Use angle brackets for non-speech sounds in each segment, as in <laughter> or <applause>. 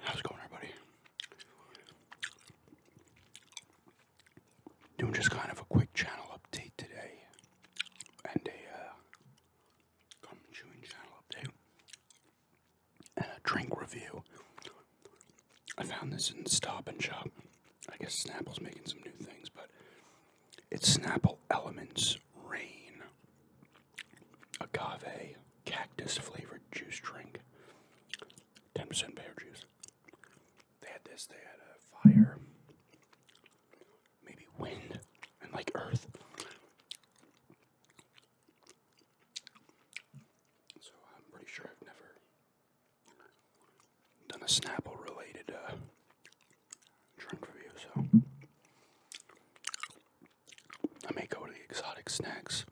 How's it going, everybody? Doing just kind of a quick channel update today, and a uh, chewing channel update, and a drink review. I found this in Stop and Shop. I guess Snapple's making some new things, but it's Snapple Elements Rain, agave cactus flavored juice drink, 10% pear juice. They had this, they had a fire, maybe wind, and like earth. So I'm pretty sure I've never done a Snapple related uh, drink review, so I may go to the exotic snacks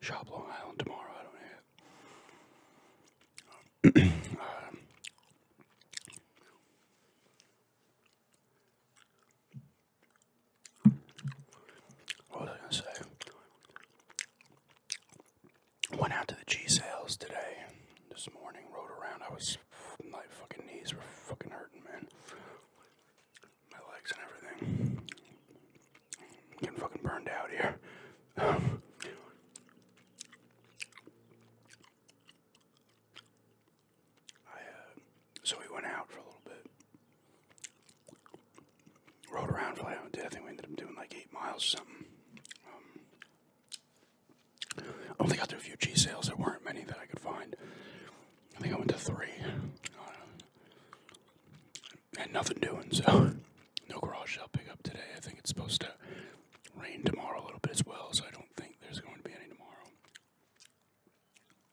shop Long Island tomorrow. I don't know <clears throat> um, what was I gonna say? Went out to the G sales today. This morning, rode around. I was my fucking knees were fucking hurting, man. My legs and everything. i getting fucking burned out here. I, uh, so we went out for a little bit. Rode around for like, I think we ended up doing like eight miles something. Um, I Only got a few G sales, there weren't many that I could find. I think I went to three. Uh, had nothing doing, so <laughs> no garage sale up today. I think it's supposed to rain tomorrow a little bit as well, so I don't think there's going to be any tomorrow.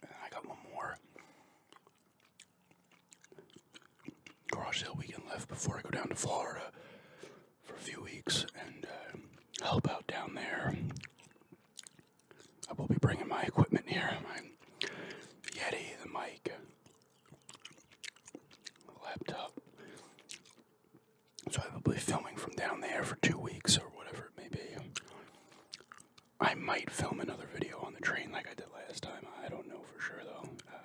And I got one more garage sale weekend left before I go down to Florida for a few weeks and uh, help out down there. I will be bringing my equipment here my Yeti, the mic, the laptop. So I will be filming from down there for two weeks or whatever it may be. I might film another video on the train like I did last time. I don't know for sure though. Uh,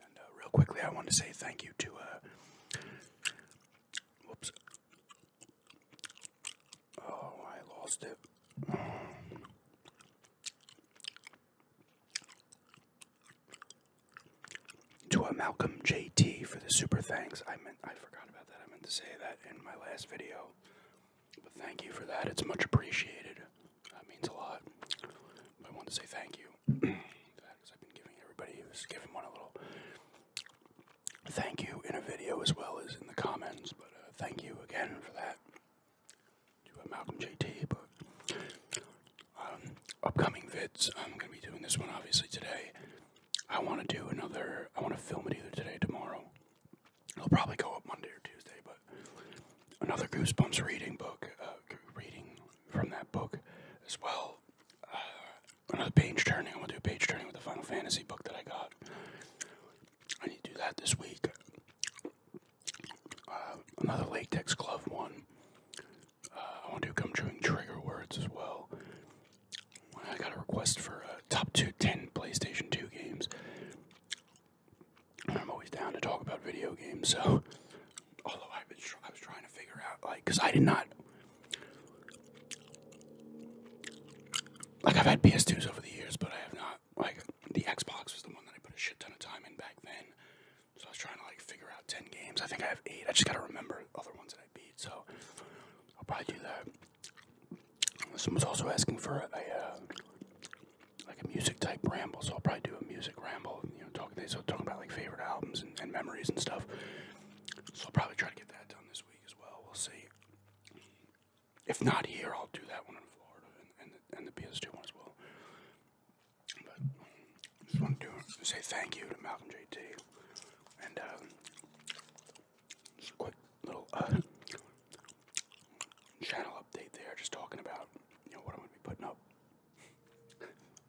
uh, real quickly, I want to say thank you to, uh, whoops. Oh, I lost it. to uh, Malcolm JT for the super thanks. I meant I forgot about that. I meant to say that in my last video. But thank you for that. It's much appreciated. That means a lot. I want to say thank you thank you in a video as well as in the comments. But uh, thank you again for that to uh, Malcolm JT. But um, upcoming vids, I'm going to be doing this one obviously today. I want to do another, I want to film it either today tomorrow. It'll probably go up Monday or Tuesday, but another Goosebumps reading book, uh, reading from that book as well. Uh, another page turning. I'm gonna do page turning with the Final Fantasy book that I got. I need to do that this week. Uh, another latex glove one. Uh, I want to do come chewing trigger words as well. I got a request for uh, top two ten PlayStation two games. I'm always down to talk about video games, so although I've been, I was trying to figure out, like, because I did not, like, I've had PS2s over the years, but I have not, like, the Xbox was the one that I put a shit ton of time in back then. So I was trying to, like, figure out 10 games. I think I have eight. I just got to remember other ones that I beat. So I'll probably do that. Someone's also asking for a, uh, like, a music type ramble. So I'll probably do a music ramble talking they so talking about like favorite albums and, memories and stuff. So I'll probably try to get that done this week as well. We'll see. If not here, I'll do that one in Florida and, the, PS2 one as well. But just want to say thank you to Malcolm JT and um, just quick little uh, channel update there, just talking about what I'm gonna be putting up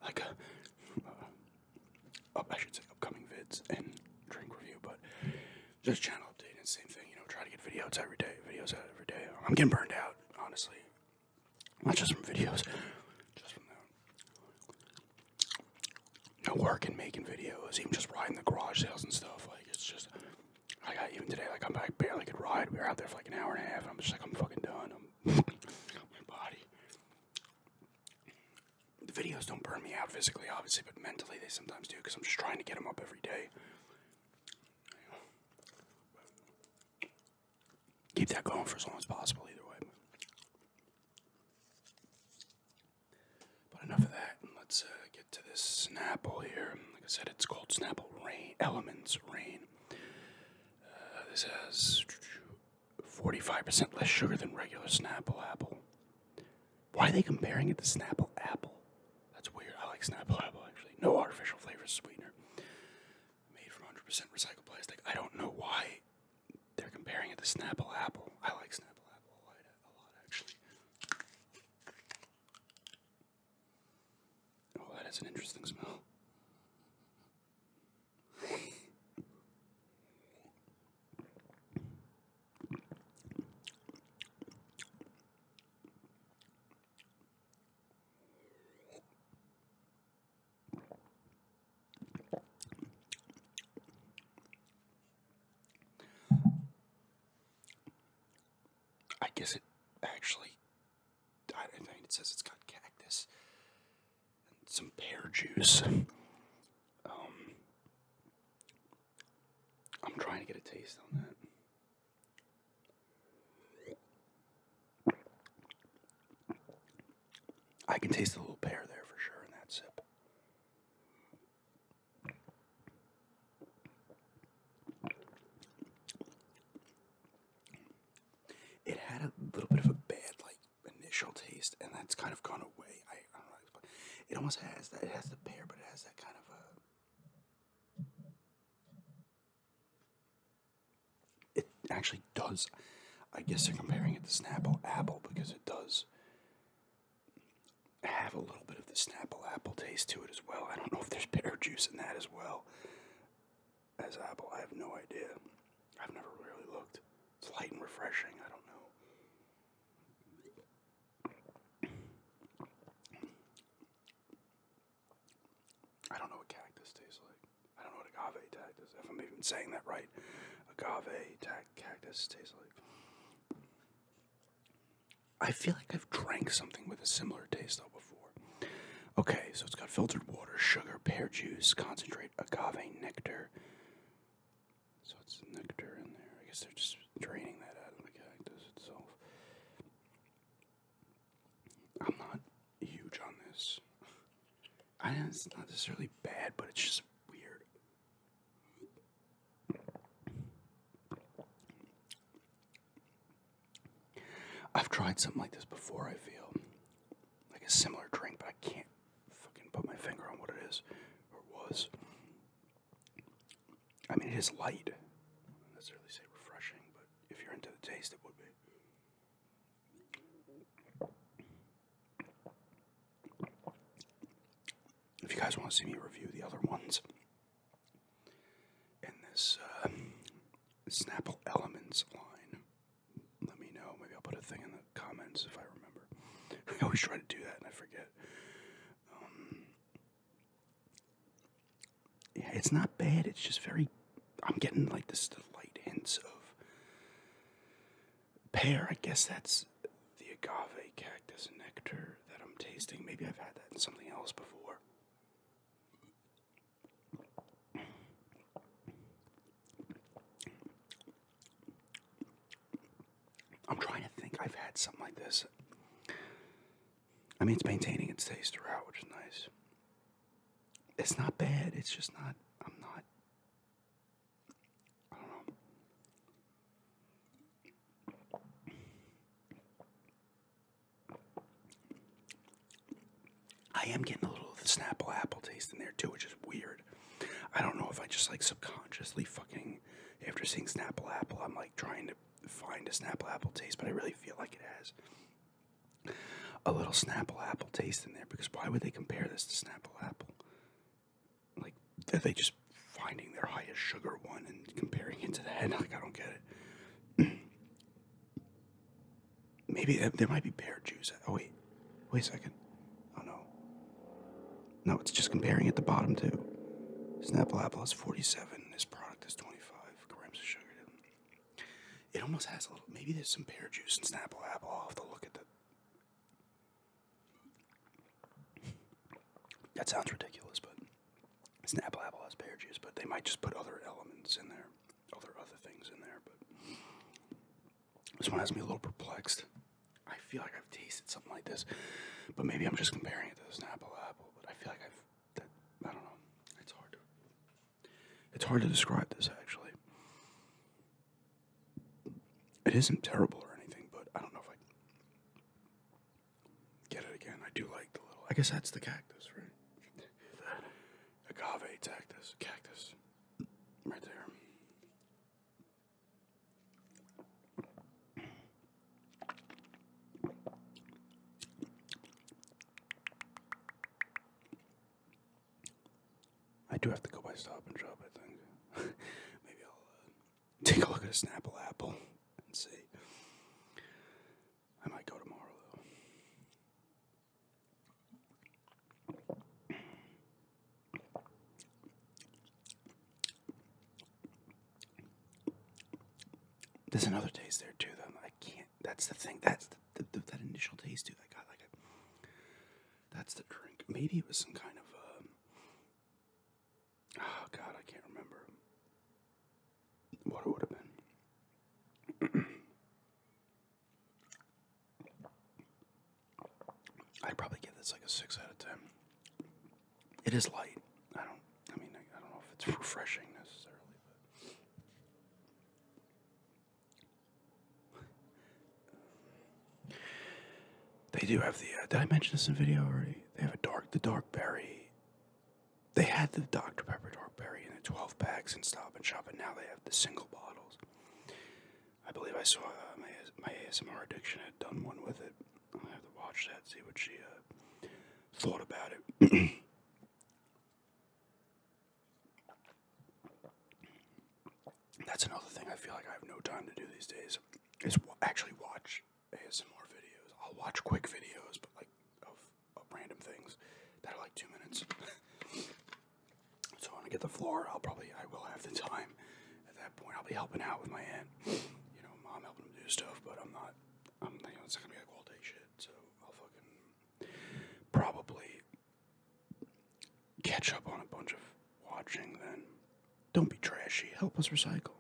like uh, uh, I should say upcoming vids and drink review, but just channel update and same thing. You know, try to get videos every day, videos out every day. I'm getting burned out, honestly. Not just from videos, just from the no work and making videos, even just riding the garage sales and stuff. Like it's just, I got even today. Like I'm I barely could ride. We were out there for like an hour and a half. I'm just like I'm fucking done. The videos don't burn me out physically, obviously, but mentally they sometimes do because I'm just trying to get them up every day. Keep that going for as long as possible, either way. But enough of that. Let's uh, get to this Snapple here. Like I said, it's called Snapple Rain Elements Rain. Uh, this has 45% less sugar than regular Snapple apple. Why are they comparing it to Snapple apple? That's weird. I like Snapple apple actually. No artificial flavors, sweetener. Made from 100% recycled plastic. I don't know why they're comparing it to Snapple apple. I like Snapple apple a lot, a lot actually. Oh, that has an interesting smell. I guess it actually I it says it's got cactus and some pear juice. Um, I'm trying to get a taste on that. I can taste a little pear there for sure in that sip. It had a little bit of a bad like initial taste, and that's kind of gone away. I, don't know. it almost has that. It has the pear, but it has that kind of a. It actually does. I guess they're comparing it to Snapple Apple because it does have a little bit of the Snapple Apple taste to it as well. I don't know if there's pear juice in that as well as Apple. I have no idea. I've never really looked. It's light and refreshing. I don't know. I don't know what cactus tastes like. I don't know what agave cactus, if I'm even saying that right, agave cactus tastes like. I feel like I've drank something with a similar taste, though. Okay, so it's got filtered water, sugar, pear juice, concentrate, agave nectar. So it's nectar in there. I guess they're just draining that out of the cactus itself. I'm not huge on this. I know it's not necessarily bad, but it's just weird. I've tried something like this before, I feel. Like a similar drink, but I can't fucking put my finger on what it is or was. I mean, it is light. I wouldn't necessarily say refreshing, but if you're into the taste, it would be. If you guys want to see me review the other ones in this uh, Snapple Elements line. Let me know. Maybe I'll put a thing in the comments if I remember. <laughs> I always try to do that and I forget. Um, yeah, it's not bad. It's just very. I'm getting like this the light hints of pear. I guess that's the agave cactus nectar that I'm tasting. Maybe I've had that in something else before. I'm trying to think. I've had something like this. I mean, it's maintaining its taste throughout, which is nice. It's not bad. It's just not. I'm not. I am getting a little of the Snapple apple taste in there too, which is weird. I don't know if I just like subconsciously fucking after seeing Snapple apple, I'm like trying to find a Snapple apple taste, but I really feel like it has a little Snapple apple taste in there because why would they compare this to Snapple apple? Like, are they just finding their highest sugar one and comparing it to that? <laughs> Like, I don't get it. <clears throat> Maybe there might be pear juice. Oh, wait. Wait a second. Oh, no. No, it's just comparing at the bottom, too. Snapple apple has 47. This product is 25 grams of sugar. It almost has a little. Maybe there's some pear juice in Snapple apple. I'll have to look at that. That sounds ridiculous, but Snapple apple has pear juice, but they might just put other elements in there there are other things in there, but this one has me a little perplexed. I feel like I've tasted something like this, but maybe I'm just comparing it to this apple apple. But I feel like I've that I don't know. It's hard to it's hard to describe this actually. It isn't terrible or anything, but I don't know if I get it again. I do like the little. I guess that's the cactus, right? agave cactus, cactus, right there. I do have to go by Stop and drop. I think. <laughs> Maybe I'll uh, take a look at a Snapple apple and see. I might go tomorrow though. There's another taste there too though. I can't. That's the thing. That's the, that initial taste too. That got like a. That's the drink. Maybe it was some kind of. Um, oh God, I can't remember what it would have been. <clears throat> I'd probably give this like a 6 out of 10. It is light. I don't, I mean, I, don't know if it's refreshing necessarily, but. They do have the, uh, did I mention this in video already? They have a dark, the dark berry they had the Dr. Pepper Dark Berry in the 12 packs and Stop and Shop, and now they have the single bottles. I believe I saw uh, my, my ASMR addiction had done one with it. i have to watch that, see what she uh, thought about it. <clears throat> That's another thing I feel like I have no time to do these days is actually watch ASMR videos. I'll watch quick videos, but like random things that are like two minutes. <laughs> so when I get the floor, I'll probably I will have the time. At that point, I'll be helping out with my aunt. You know, mom helping him do stuff, but I'm not. I'm you it's gonna be like all day shit. So I'll fucking probably catch up on a bunch of watching. Then don't be trashy. Help us recycle.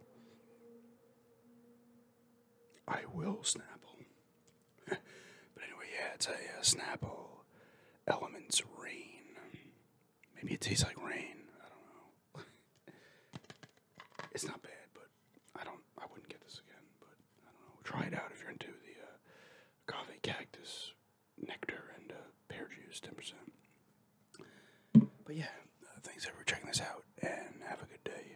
I will Snapple but anyway, yeah, it's a, a Snapple Elements Rain. Maybe it tastes like rain. I don't know. <laughs> it's not bad, but I don't. I wouldn't get this again. But I don't know. Try it out if you're into the coffee uh, cactus nectar and uh, pear juice, ten percent. But yeah, uh, thanks everyone for checking this out, and have a good day.